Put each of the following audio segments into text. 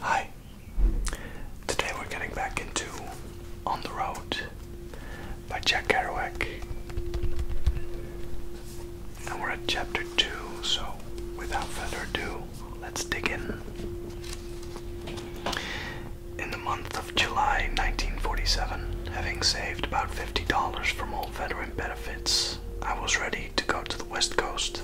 Hi. Today we're getting back into On the Road by Jack Kerouac. And we're at chapter 2, so without further ado, let's dig in. In the month of July 1947, having saved about $50 from old veteran benefits, I was ready to go to the West Coast.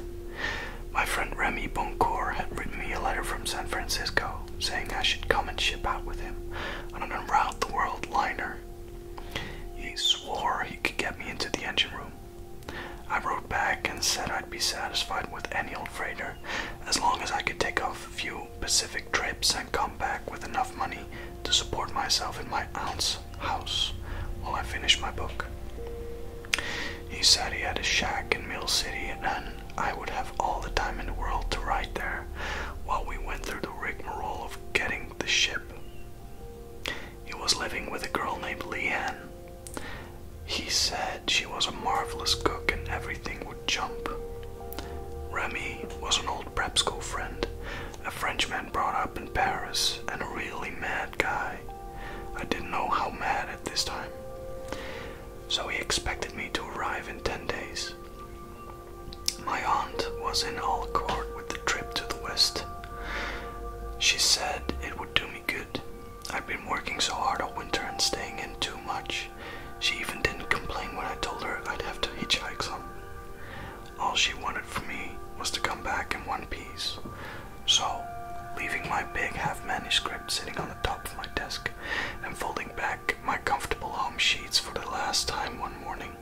My friend Remy Boncour had written me a letter from San Francisco saying I should come and ship out with him on an around the world liner. He swore he could get me into the engine room. I wrote back and said I'd be satisfied with any old freighter as long as I could take off a few Pacific trips and come back with enough money to support myself in my aunt's house while I finish my book. He said he had a shack in Mill City and I would have all the time in the world to write there while we went through the rigmarole of getting the ship. He was living with a girl named Leanne. He said she was a marvelous cook and everything would jump Remy was an old prep school friend, a Frenchman brought up in Paris, and a really mad guy. I didn't know how mad at this time. So he expected me to arrive in 10 days. My aunt was in Alcourt with the trip to the west. She said it would do me good. I've been working so hard all winter and staying in too much. She even didn't complain when I told her I'd have to hitchhike some. All she wanted from me was to come back in one piece. So, leaving my big half manuscript sitting on the top of my desk and folding back my comfortable home sheets for the last time one morning,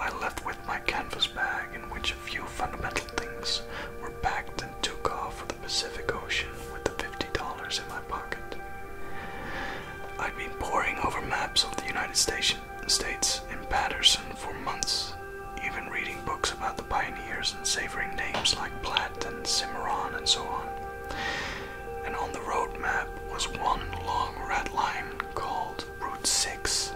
I left with my canvas bag in which a few fundamental things were packed and took off for the Pacific Ocean with the dollars in my pocket. I'd been poring over maps of the United States and Patterson for months, even reading books about the pioneers and savoring names like Platt and Cimarron and so on. And on the road map was one long red line called Route 6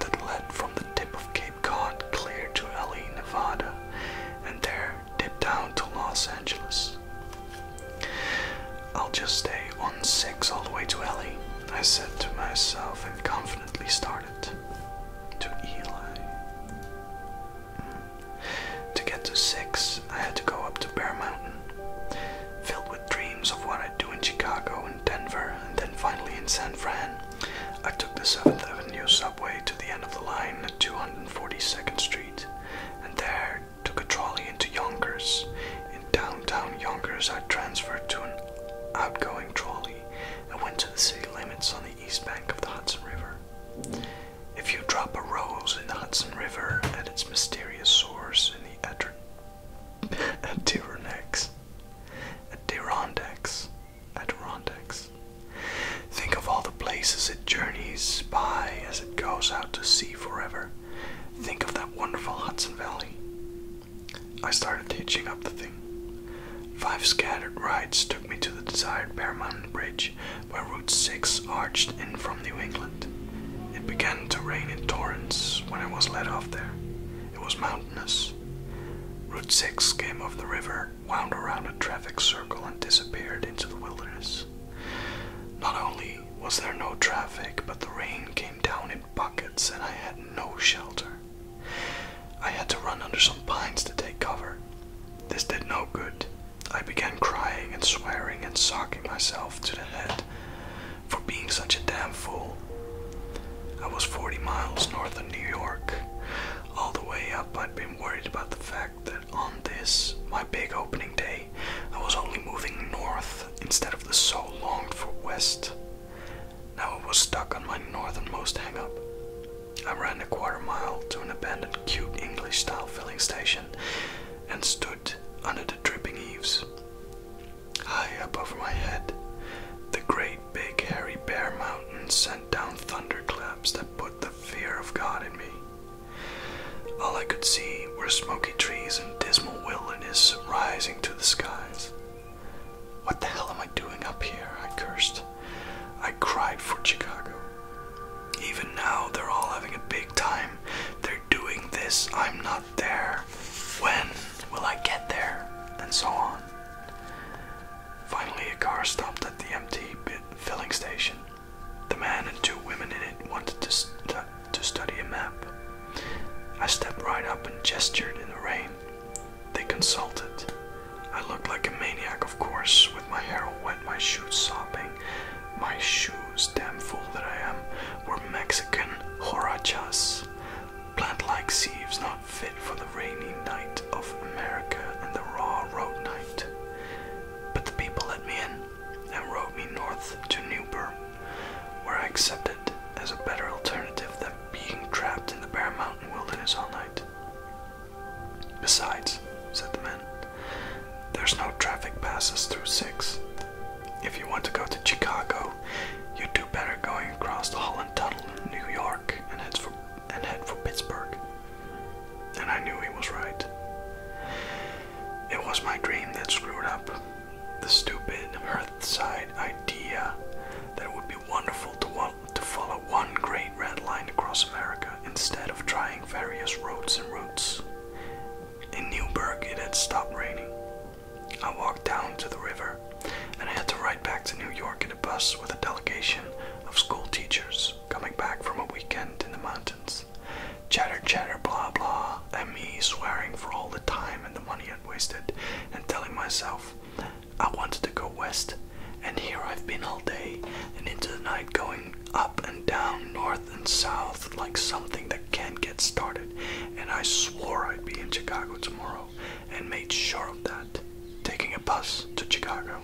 that led from the tip of Cape Cod clear to LA, Nevada, and there dipped down to Los Angeles. I'll just stay on 6 all the way to Ellie, I said to myself and confidently started to Eli. Mm. To get to 6, I had to go up to Bear Mountain, filled with dreams of what I'd do in Chicago and Denver, and then finally in San Fran. I took the 7th Avenue subway to the end of the line at 242nd Street, and there there, took a trolley into Yonkers. In downtown Yonkers, I transferred to an outgoing trolley and went to the city limits on the east bank of the Hudson River. If you drop a rose in the Hudson River at its mysterious source in the Adder Adirondacks, Adirondacks, Adirondacks, think of all the places it journeys by as it goes out to sea forever. Think of that wonderful Hudson Valley. I started hitching up the thing. Five scattered rides took me to the desired Bear Mountain Bridge, where Route 6 arched in from New England. It began to rain in torrents when I was let off there. It was mountainous. Route 6 came over the river, wound around a traffic circle, and disappeared into the wilderness. Not only was there no traffic, but the rain came down in buckets and I had no shelter. I had to run under some pines to take cover. This did no good. I began crying and swearing and socking myself to the head for being such a damn fool. I was 40 miles north of New York. All the way up, I'd been worried about the fact that on this, my big opening day, I was only moving north instead of the so longed for west. Now it was stuck on my northernmost hang-up. I ran a quarter mile to an abandoned cute English-style filling station and stood under the dripping eaves. High up over my head, the great big hairy bear Mountains sent down thunderclaps that put the fear of God in me. All I could see were smoky trees and dismal wilderness rising to the skies. What the hell am I doing up here? I cursed. I cried for Chicago. Even now, they're all having a big time. They're doing this, I'm not there. When will I get there? And so on. Finally, a car stopped at the empty bit filling station. The man and two women in it wanted to, to study a map. I stepped right up and gestured in the rain. They consulted. I looked like a maniac, of course, with my hair wet, my shoes sopping. My shoes, damn fool that I am, were Mexican horachas, plant-like sieves not fit for the rainy night of America and the raw road night. But the people let me in and rode me north to Newburgh, where I accepted as a better alternative than being trapped in the bare Mountain wilderness all night. Besides, said the man, there's no traffic passes through six. If you want to go to Chicago, you'd do better going across the Holland Tunnel in New York and head for, and head for Pittsburgh. And I knew he was right. It was my dream that screwed up. The stupid Earthside idea that it would be wonderful to, to follow one great red line across America instead of trying various roads and routes. In Newburgh, it had stopped raining. I walked down to the river and I had to ride back to New York in a bus with a delegation of school teachers coming back from a weekend in the mountains. Chatter, chatter, blah, blah, and me swearing for all the time and the money I'd wasted, and telling myself I wanted to go west, and here I've been all day and into the night going up and down, north and south, like something that can't get started, and I swore I'd be in Chicago tomorrow and made sure of that. Taking a bus to Chicago,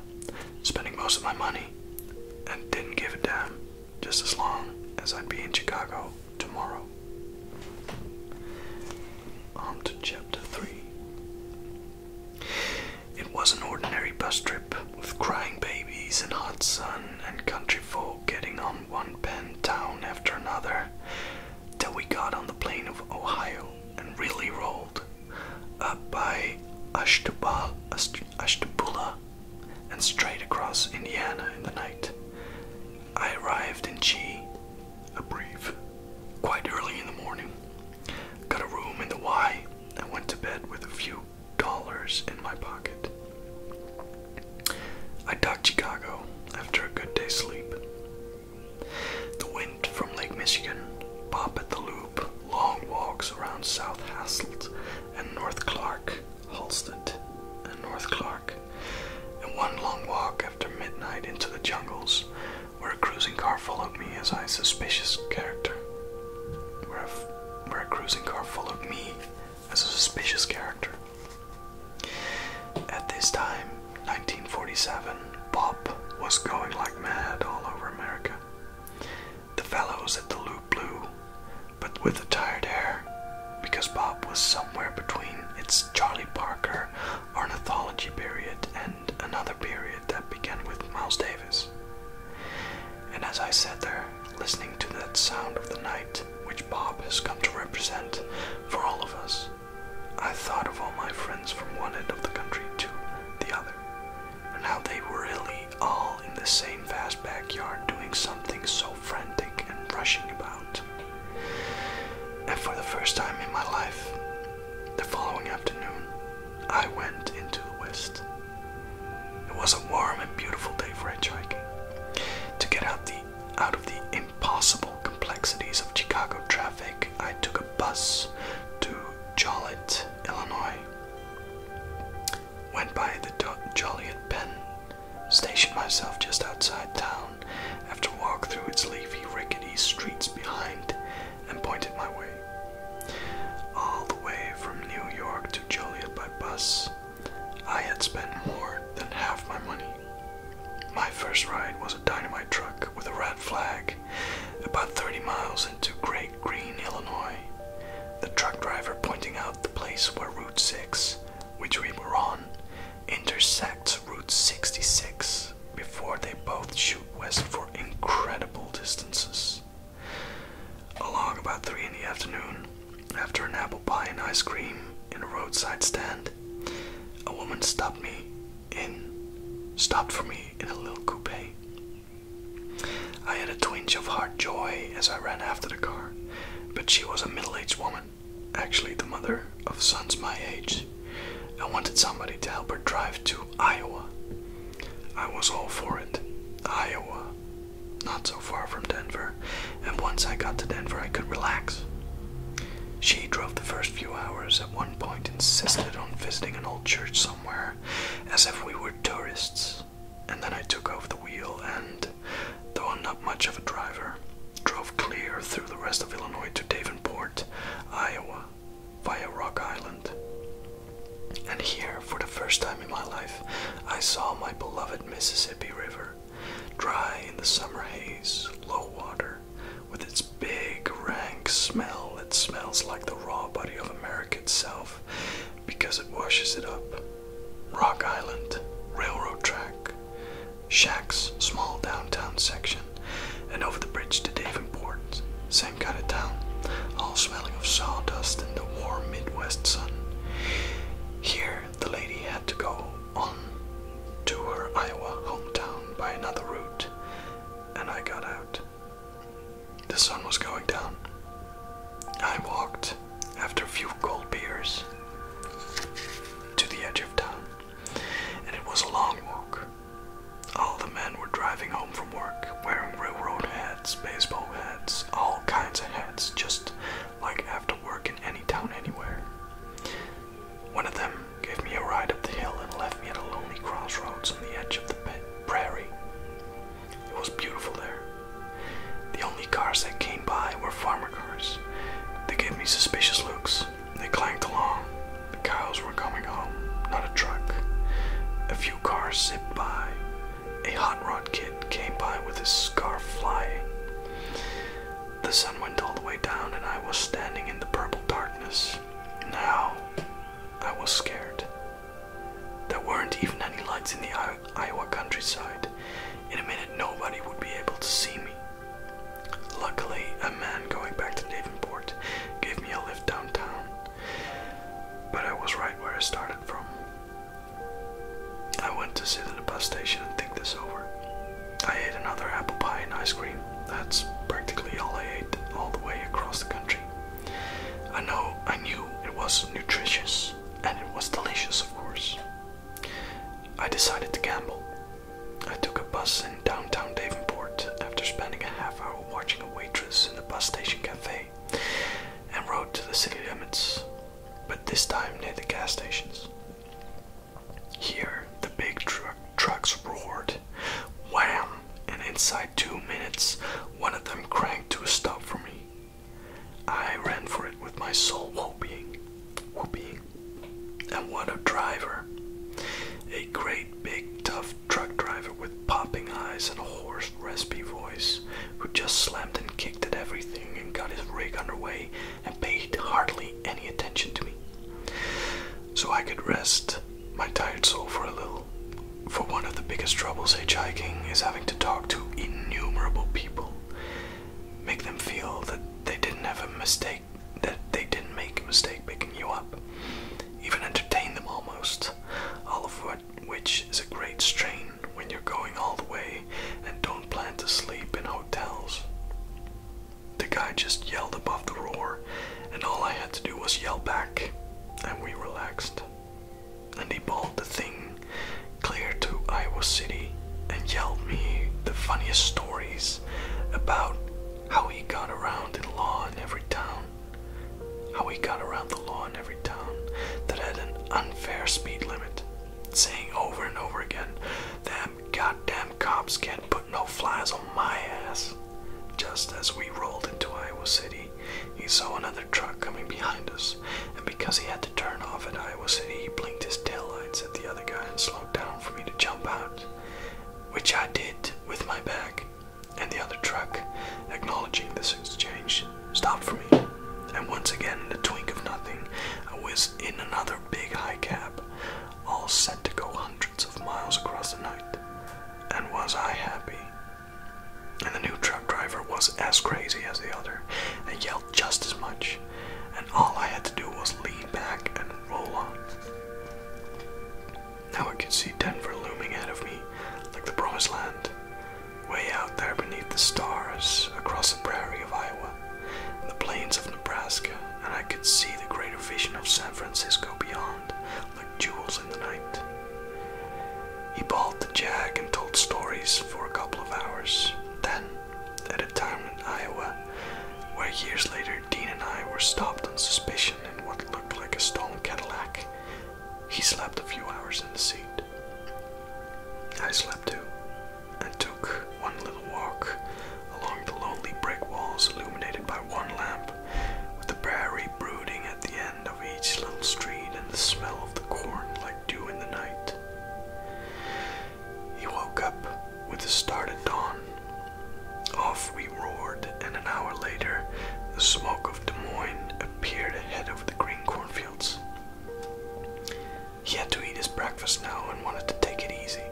spending most of my money, and didn't give a damn just as long as I'd be in Chicago tomorrow. On to chapter 3. It was an ordinary bus trip with crying babies and hot sun and country folk getting on one pen town after another till we got on the plain of Ohio and really rolled up by Ashtabal, Ashtabula and straight across Indiana in the night. I arrived in Chi, a brief, quite early in the morning. Got a room in the Y and went to bed with a few dollars in my pocket. I docked Chicago after a good day's sleep. The wind from Lake Michigan, pop at the loop, long walks around South Hasselt and North Clark Halstead, and North Clark, and one long walk after midnight into the jungles, where a cruising car followed me as I suspicious character. Where a, where a cruising car followed me as a suspicious character. At this time, 1947, pop was going like mad all over America. The fellows at the Loop Blue but with a tired air, because Bob was somewhere between its Charlie Parker ornithology period and another period that began with Miles Davis. And as I sat there, listening to that sound of the night which Bob has come to represent for all of us, I thought of all my friends from one end of the country to the other, and how they were really all in the same vast backyard doing something so frantic and rushing about. And for the first time in my life, the following afternoon, I went into the west. It was a warm and beautiful day for hitchhiking. To get out, the, out of the impossible complexities of Chicago traffic, I took a bus to Joliet, Illinois. Went by the Joliet Pen, stationed myself just outside town after a walk through its leafy, rickety streets behind, and pointed my way. All the way from New York to Joliet by bus, I had spent more than half my money. My first ride was a dynamite truck with a red flag, about 30 miles into Great Green, Illinois. The truck driver pointing out the place where Route 6 which we were on, intersects Route 66 before they both shoot west for incredible distances. Along about 3 in the afternoon, after an apple pie and ice cream in a roadside stand, a woman stopped me in stopped for me in a little coupe. I had a twinge of heart joy as I ran after the car, but she was a middle-aged woman actually the mother of sons my age, I wanted somebody to help her drive to Iowa. I was all for it. Iowa, not so far from Denver, and once I got to Denver, I could relax. She drove the first few hours, at one point, insisted on visiting an old church somewhere, as if we were tourists, and then I took off the wheel and though I'm not much of a driver. Drove clear through the rest of Illinois to Davenport, Iowa, via Rock Island. And here, for the first time in my life, I saw my beloved Mississippi River, dry in the summer haze, low water, with its big, rank smell It smells like the raw body of America itself because it washes it up. Rock Island, railroad track, Shack's small downtown section, and over the bridge to Davenport, same kind of town, all smelling of sawdust and the warm Midwest sun. Here, the lady had to go on to her Iowa hometown by another route, and I got out. The sun was going down. I walked after a few cold beers to the edge of town, and it was a long walk. All the men were driving home from work, wearing railroad hats, baseball hats, all kinds of hats, just like after work in any town anywhere. One of them gave me a ride up the hill and left me at a lonely crossroads on the edge of the prairie. It was beautiful there, the only cars that came by were farmer cars. They gave me suspicious looks. They clanked along. The cows were coming home, not a truck. A few cars zipped by. A hot rod kid came by with his scarf flying. The sun went all the way down, and I was standing in the purple darkness. Now I was scared. There weren't even any lights in the Iowa countryside. In a minute, nobody would be able to see me. Luckily, a man going back to Davenport gave me a lift downtown, but I was right where I started from. I went to sit in the bus station and think this over. I ate another apple pie and ice cream. That's practically all I ate all the way across the country. I know I knew it was nutritious and it was delicious, of course. I decided to gamble. I took a bus in downtown Davenport after spending a half hour watching a waitress in a bus station cafe and rode to the city limits, but this time near the gas stations. Here, the big tr trucks roared. Wham! And inside two minutes, one of them cranked to a stop for me. I ran for it with my soul whooping, whooping. And what a driver! A great, big, tough truck driver with popping eyes and a hoarse, raspy voice, who just slammed and kicked at everything and got his rig underway and paid hardly any attention to me. So I could rest my tired soul for a little. For one of the biggest troubles hitchhiking is having to talk to innumerable people, make them feel that they didn't have a mistake, that they didn't make a mistake picking you up. Even entertain them almost, all of what, which is a great strain when you're going all the way and don't plan to sleep in hotels. The guy just yelled above the roar, and all I had to do was yell back, and we relaxed. And he bawled the thing clear to Iowa City and yelled me the funniest stories about how he got around in law in every town. How he got around the law in every town that had an unfair speed limit, saying over and over again, Them goddamn cops can't put no flies on my ass. Just as we rolled into Iowa City, he saw another truck coming behind us, and because he had turn off at Iowa City, he blinked his tail lights at the other guy and slowed down for me to jump out, which I did with my bag. And the other truck, acknowledging this exchange, stopped for me. And once again, in a twink of nothing, I was in another big high cab, all set to go hundreds of miles across the night. And was I happy? And the new truck driver was as crazy as the other and yelled just as much and all I had to do was lean back and roll on. Now I could see Denver looming ahead of me like the promised land, way out there beneath the stars across the prairie of Iowa the plains of Nebraska, and I could see the greater vision of San Francisco beyond like jewels in the night. He bawled the jack and told stories for a couple of hours. Then at a time in Iowa where years later Dean and I were stopped on suspicion in what looked like a stolen Cadillac. He slept a few hours in the seat. I slept too and took one little walk along the lonely brick walls illuminated by one lamp, with the prairie brooding at the end of each little street and the smell of the corn like dew in the night. He woke up with the start at dawn. Off we roared, and an hour later, the smoke of Des Moines appeared ahead over the green cornfields. He had to eat his breakfast now and wanted to take it easy,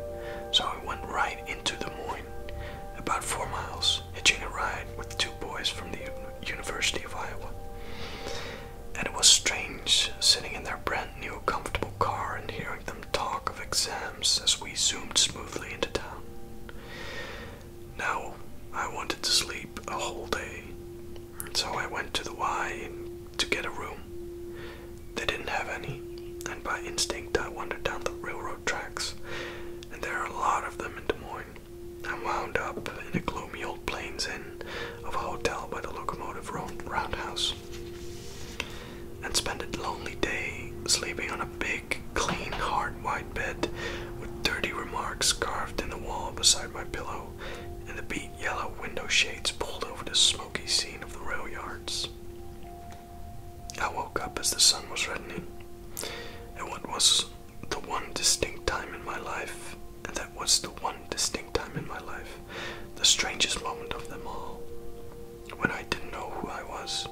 so he went right into Des Moines, about four miles, hitching a ride with two boys from the University of Iowa. And it was strange sitting in their that new comfortable car and hearing them talk of exams as we zoomed smoothly into town. Now I wanted to sleep a whole day, so I went to the Y to get a room. They didn't have any, and by instinct I wandered down the railroad tracks, and there are a lot of them in Des Moines. I wound up in a gloomy old plains inn of a hotel by the locomotive roundhouse and spend a lonely day sleeping on a big, clean, hard, white bed with dirty remarks carved in the wall beside my pillow and the beat yellow window shades pulled over the smoky scene of the rail yards. I woke up as the sun was reddening, and what was the one distinct time in my life, and that was the one distinct time in my life the strangest moment of them all, when I didn't know who I was.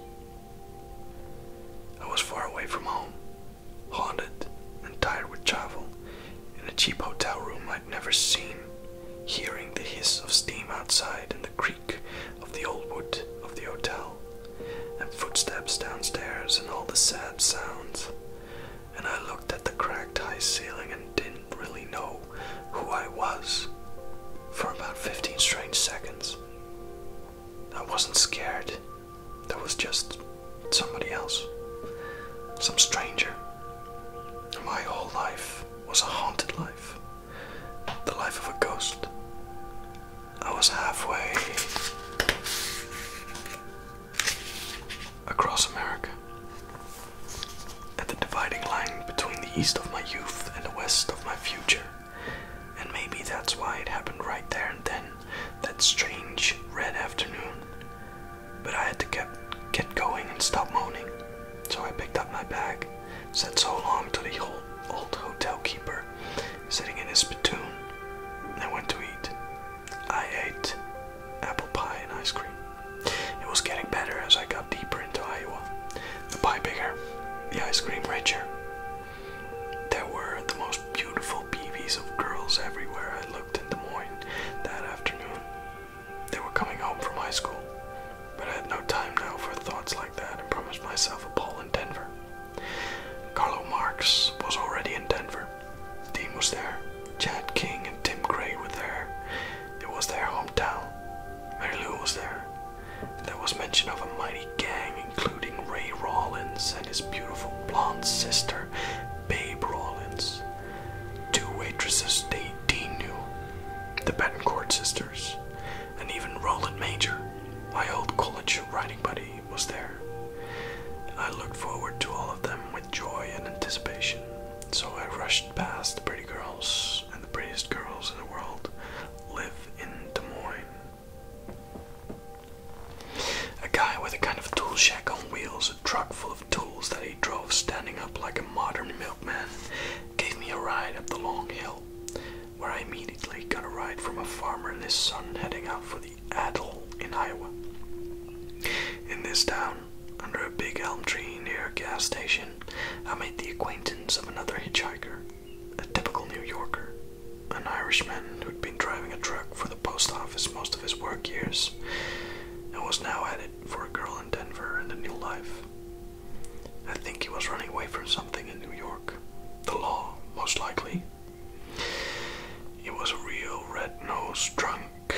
I was far away from home, haunted and tired with travel, in a cheap hotel room I'd never seen, hearing the hiss of steam outside and the creak of the old wood of the hotel, and footsteps downstairs and all the sad sounds. And I looked at the cracked high ceiling and and didn't really know who I was for about 15 strange seconds. I wasn't scared. There was just somebody else, some stranger. My whole life was a haunted life, the life of a ghost. I was halfway across America at the dividing line between the east of my youth and the west of my future. And maybe that's why it happened right there and then, that strange red afternoon. But I had to get, get going and stop moaning. So I picked up my bag, said so long to the old, hotel keeper sitting in his spittoon, and I went to eat. I ate apple pie and ice cream. It was getting better as I got deeper into Iowa. The pie bigger, the ice cream richer. There were the most beautiful peevees of girls everywhere I looked in Des Moines that afternoon. They were coming home from high school, but I had no time now for thoughts like that and promised myself a ball in Denver. Carlo Marx was already in Denver. Dean was there. Chad King and Tim Gray were there. It was their hometown. Mary Lou was there. There was mention of a mighty gang, including Ray Rawlins and his beautiful blonde sister, Babe Rawlins. Two waitresses they, Dean knew, the Betancourt sisters, and even Roland Major, my old college riding buddy, was there. I looked forward to all of them with joy and anticipation, so I rushed pushed past the pretty girls, and the prettiest girls in the world live in Des Moines. A guy with a kind of tool shack on wheels, a truck full of tools that he drove standing up like a modern milkman, gave me a ride up the long hill, where I immediately got a ride from a farmer and his son heading out for the Adel in Iowa. In this town, under a big elm tree near a gas station, I made the acquaintance of another hitchhiker, a typical New Yorker, an Irishman who'd been driving a truck for the post office most of his work years and was now headed for a girl in Denver and a new life. I think he was running away from something in New York. The law, most likely. He was a real red-nosed drunk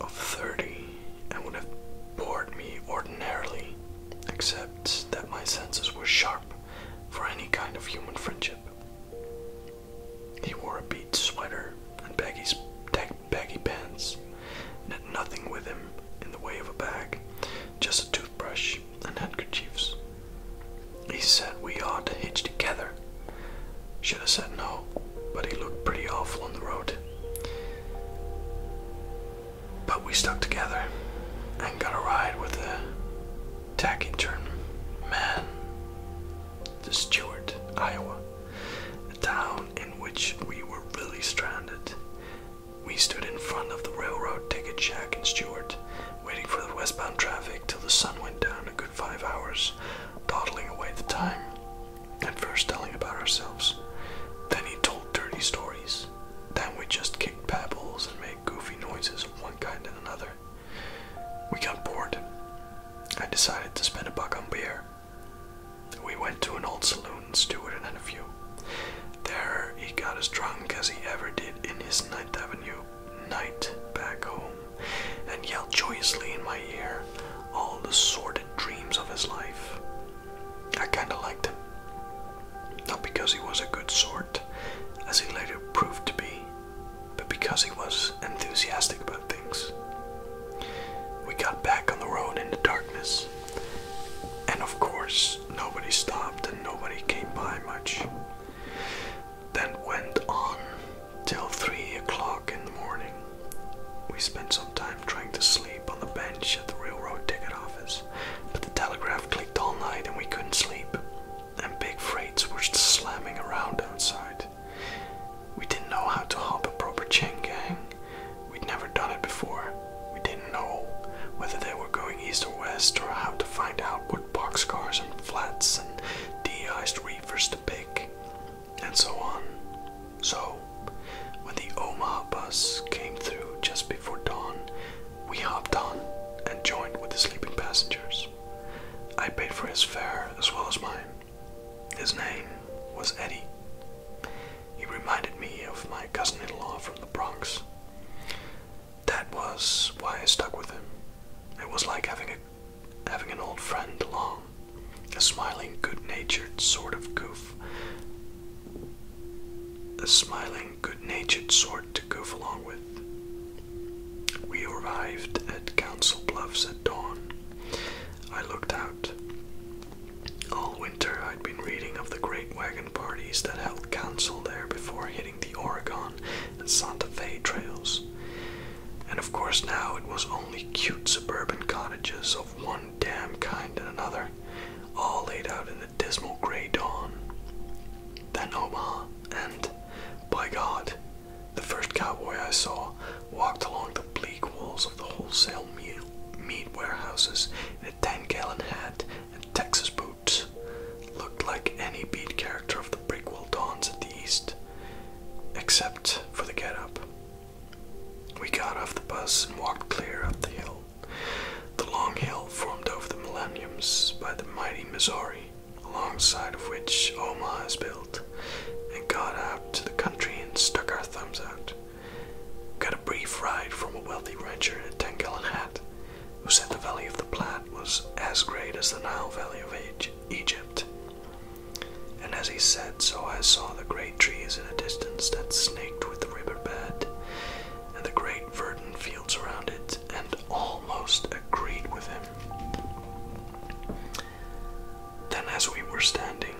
of 30 and would have bored me ordinarily except that my senses were sharp for any kind of human friendship. He wore a bead sweater and baggy, baggy pants, and had nothing with him in the way of a bag, just a toothbrush and handkerchiefs. He said we ought to hitch together. Should have said no, but he looked pretty awful on the road. But we stuck together and got a ride with a turn, man to Stewart, Iowa, a town in which we were really stranded. We stood in front of the railroad ticket shack in Stewart, waiting for the westbound traffic till the sun went down a good five hours, dawdling away the time and first telling about ourselves. Then he told dirty stories. Then we just kicked pebbles and made goofy noises of one kind and another. We got bored. I decided to spend a buck on beer. We went to an old saloon and Stewart and had a few. There he got as drunk as he ever did in his Ninth Avenue night back home and yelled joyously in my ear all the sordid dreams of his life. I kinda liked him. Not because he was a good sort, as he later proved to be, but because he was enthusiastic about things. We got back on the road in the darkness, and of course, nobody stopped and nobody came by much. Then went on till 3 o'clock in the morning. We spent some time trying to sleep on the bench at the railroad ticket office, but the telegraph clicked all night and we couldn't sleep, and big freights were slamming around outside. We didn't know how to hop a proper chain gang. We'd never done it before. We didn't know whether they were going east or west, or how to find out what box cars and flats and de-iced reefers to pick, and so on. So, when the Omaha bus came through just before dawn, we hopped on and joined with the sleeping passengers. I paid for his fare as well as mine. His name was Eddie. He reminded me of my cousin in law from the Bronx. That was why I stuck with him. It was like having, a, having an old friend along, a smiling, good natured sort of goof. A smiling, good natured sort to goof along with. We arrived at Council Bluffs at dawn. I looked out. All winter I'd been reading of the great wagon parties that held council there before hitting the Oregon and Santa Fe trails. And of course now it was only cute suburban cottages of one damn kind and another, all laid out in dismal grey dawn. Then Omaha, and by God, the first cowboy I saw walked along the bleak walls of the wholesale meat, warehouses in a 10 gallon hat and Texas boots. Looked like any beat character of the prequel Dawns at the East, except for the get-up. We got off the bus and walked clear up the hill. The long hill formed over the millenniums by the mighty Missouri, alongside of which Omaha is built, and got out to the country and stuck our thumbs out. Got a brief ride from a wealthy rancher in a 10 gallon hat who said the Valley of the Platte was as great as the Nile Valley of Egypt. And as he said, so I saw the great trees in a distance that snaked with the river bed and the great verdant fields around it, and almost agreed with him. Then, as we were standing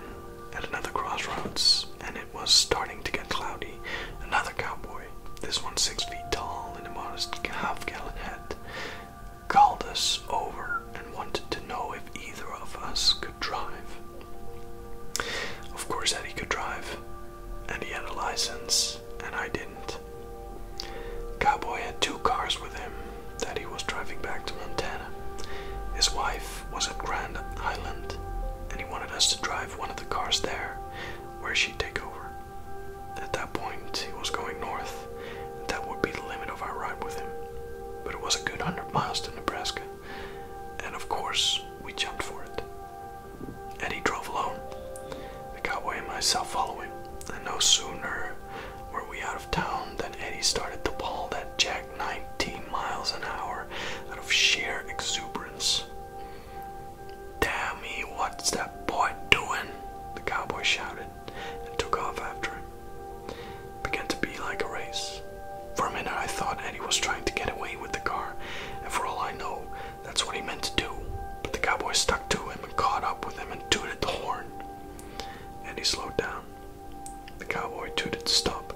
at another crossroads, and it was starting to get cloudy, another cowboy, this one six feet tall and a modest half gallon hat, called us over and wanted to know if either of us could drive. Of course, Eddie could drive, and he had a license, and I didn't. Cowboy had two cars with him that he was driving back to Montana. His wife was at Grand Island, and he wanted us to drive one of the cars there, where she'd take over. At that point, he was going north. That would be the limit of our ride with him, but it was a good hundred miles to Nebraska. And of course, we jumped for it. Eddie drove alone, the cowboy and myself following, and no sooner were we out of town than Eddie started to bawl that Jack 19 miles an hour out of sheer exuberance. Damn me, what's that boy doing? The cowboy shouted and took off after him. began to be like a race, for a minute, I thought Eddie was trying to get away with the car, and for all I know, that's what he meant to do. But the cowboy stuck to him and caught up with him and tooted the horn. Eddie slowed down. The cowboy tooted to stop.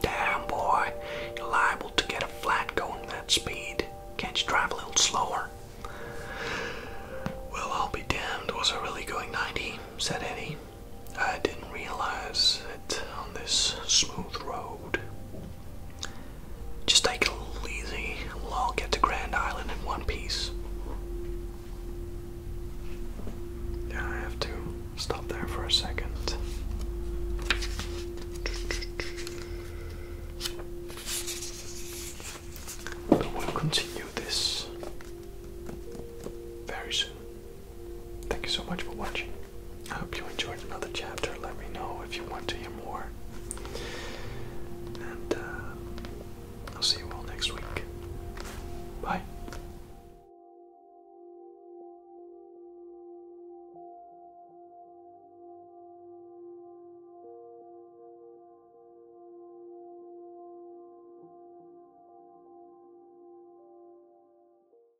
Damn, boy, you're liable to get a flat going that speed. Can't you drive a little slower? Well, I'll be damned, was I really going 90? said Eddie. I didn't realize it on this smooth road. Just take it a little easy, and will get to Grand Island in one piece. Yeah, I have to stop there for a second. But we'll continue this very soon. Thank you so much for watching. I hope you enjoyed another chapter. Let me know if you want to hear more. And uh, I'll see you all next week. Bye.